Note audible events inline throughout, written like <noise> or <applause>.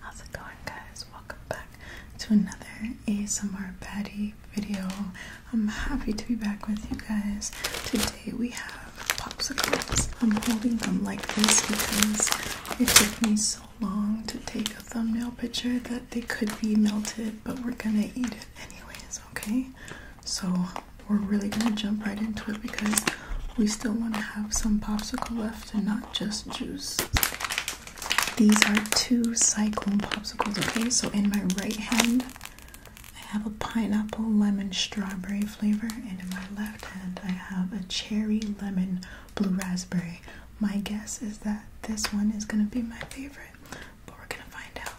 How's it going, guys? Welcome back to another ASMR Patty video. I'm happy to be back with you guys. Today we have popsicles. I'm holding them like this because it took me so long to take a thumbnail picture that they could be melted, but we're gonna eat it anyways, okay? So we're really gonna jump right into it because we still want to have some popsicle left and not just juice. These are two cyclone popsicles, okay? So in my right hand, I have a pineapple lemon strawberry flavor, and in my left hand, I have a cherry lemon blue raspberry. My guess is that this one is gonna be my favorite we're gonna find out.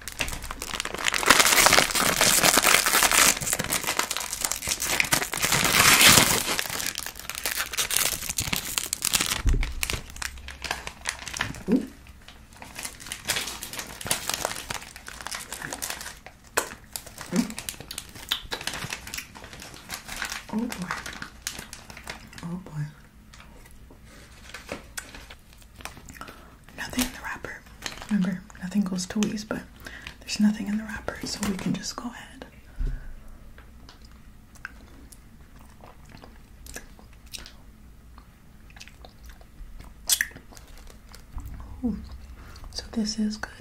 Oh boy. Oh boy nothing in the wrapper. Remember, nothing goes to waste, but there's nothing in the wrapper, so we can just go ahead. so this is good.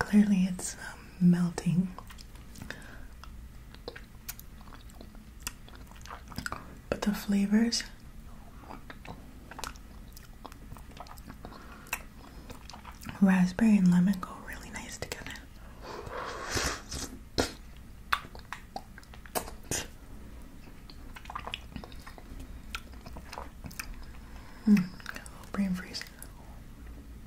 Clearly, it's um, melting. But the flavors raspberry and lemon go really nice together. Hmm, brain freeze.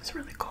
It's really cold.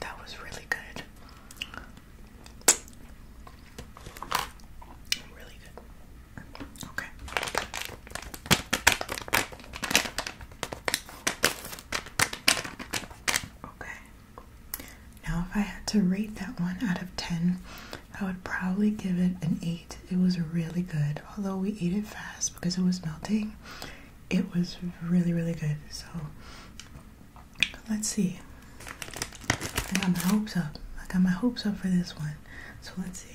That was really good. Really good. Okay. Okay. Now, if I had to rate that one out of 10, I would probably give it an 8. It was really good, although we ate it fast because it was melting it was really, really good. So let's see. I got my hopes up. I got my hopes up for this one. So let's see.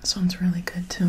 This one's really good too.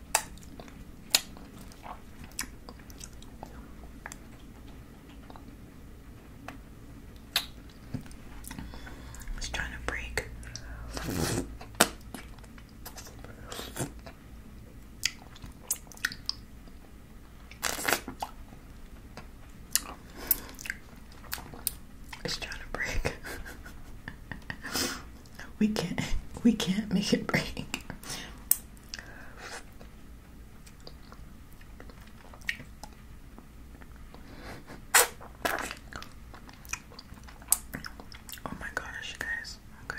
It's trying to break. It's trying to break. <laughs> we can't we can't make it break. Oh my gosh, you guys. Okay.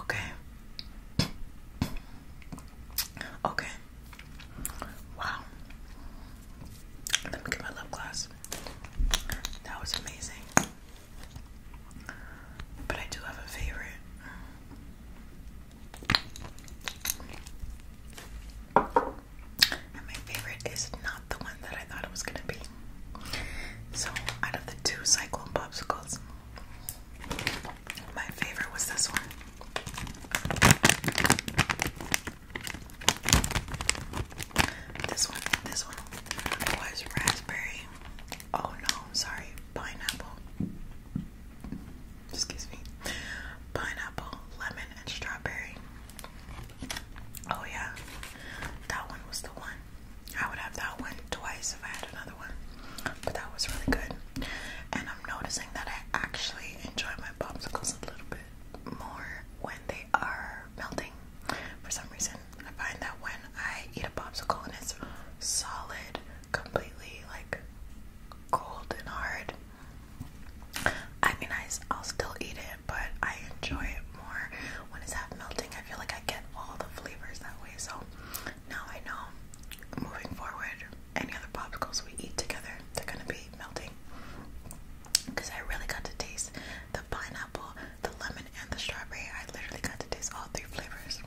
Okay. Okay. Wow. Let me get my lip gloss that was amazing. But I do have a favorite. And my favorite is not the one that I thought it was gonna be. So out of the two cyclone popsicles, my favorite was this one. This one, this one was raspberry. Oh no, sorry, pineapple. Excuse me. Pineapple, lemon, and strawberry. Oh yeah, that one was the one. I would have that one twice if I had another one. But that was really good. And I'm noticing that I actually enjoy my popsicles a little bit more when they are melting. For some reason, I find that when I eat a popsicle and it's solid, completely like cold and hard, I mean, I, I'll still eat it, but I enjoy it more when it's half melting. I feel like I get all the flavors that way. So now I know moving forward, any other popsicles we eat together, they're gonna be melting because I really got to taste the pineapple, the lemon, and the strawberry. I literally got to taste all three flavors.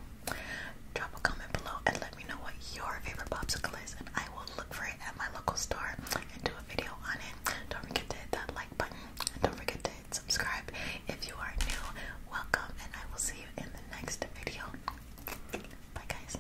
Drop a comment below and let me know what your favorite popsicle is, and I will look for it at my local store and do a video on it. Don't forget to hit that like button, and don't forget to subscribe. If you are new, welcome, and I will see you in the next video. Bye, guys.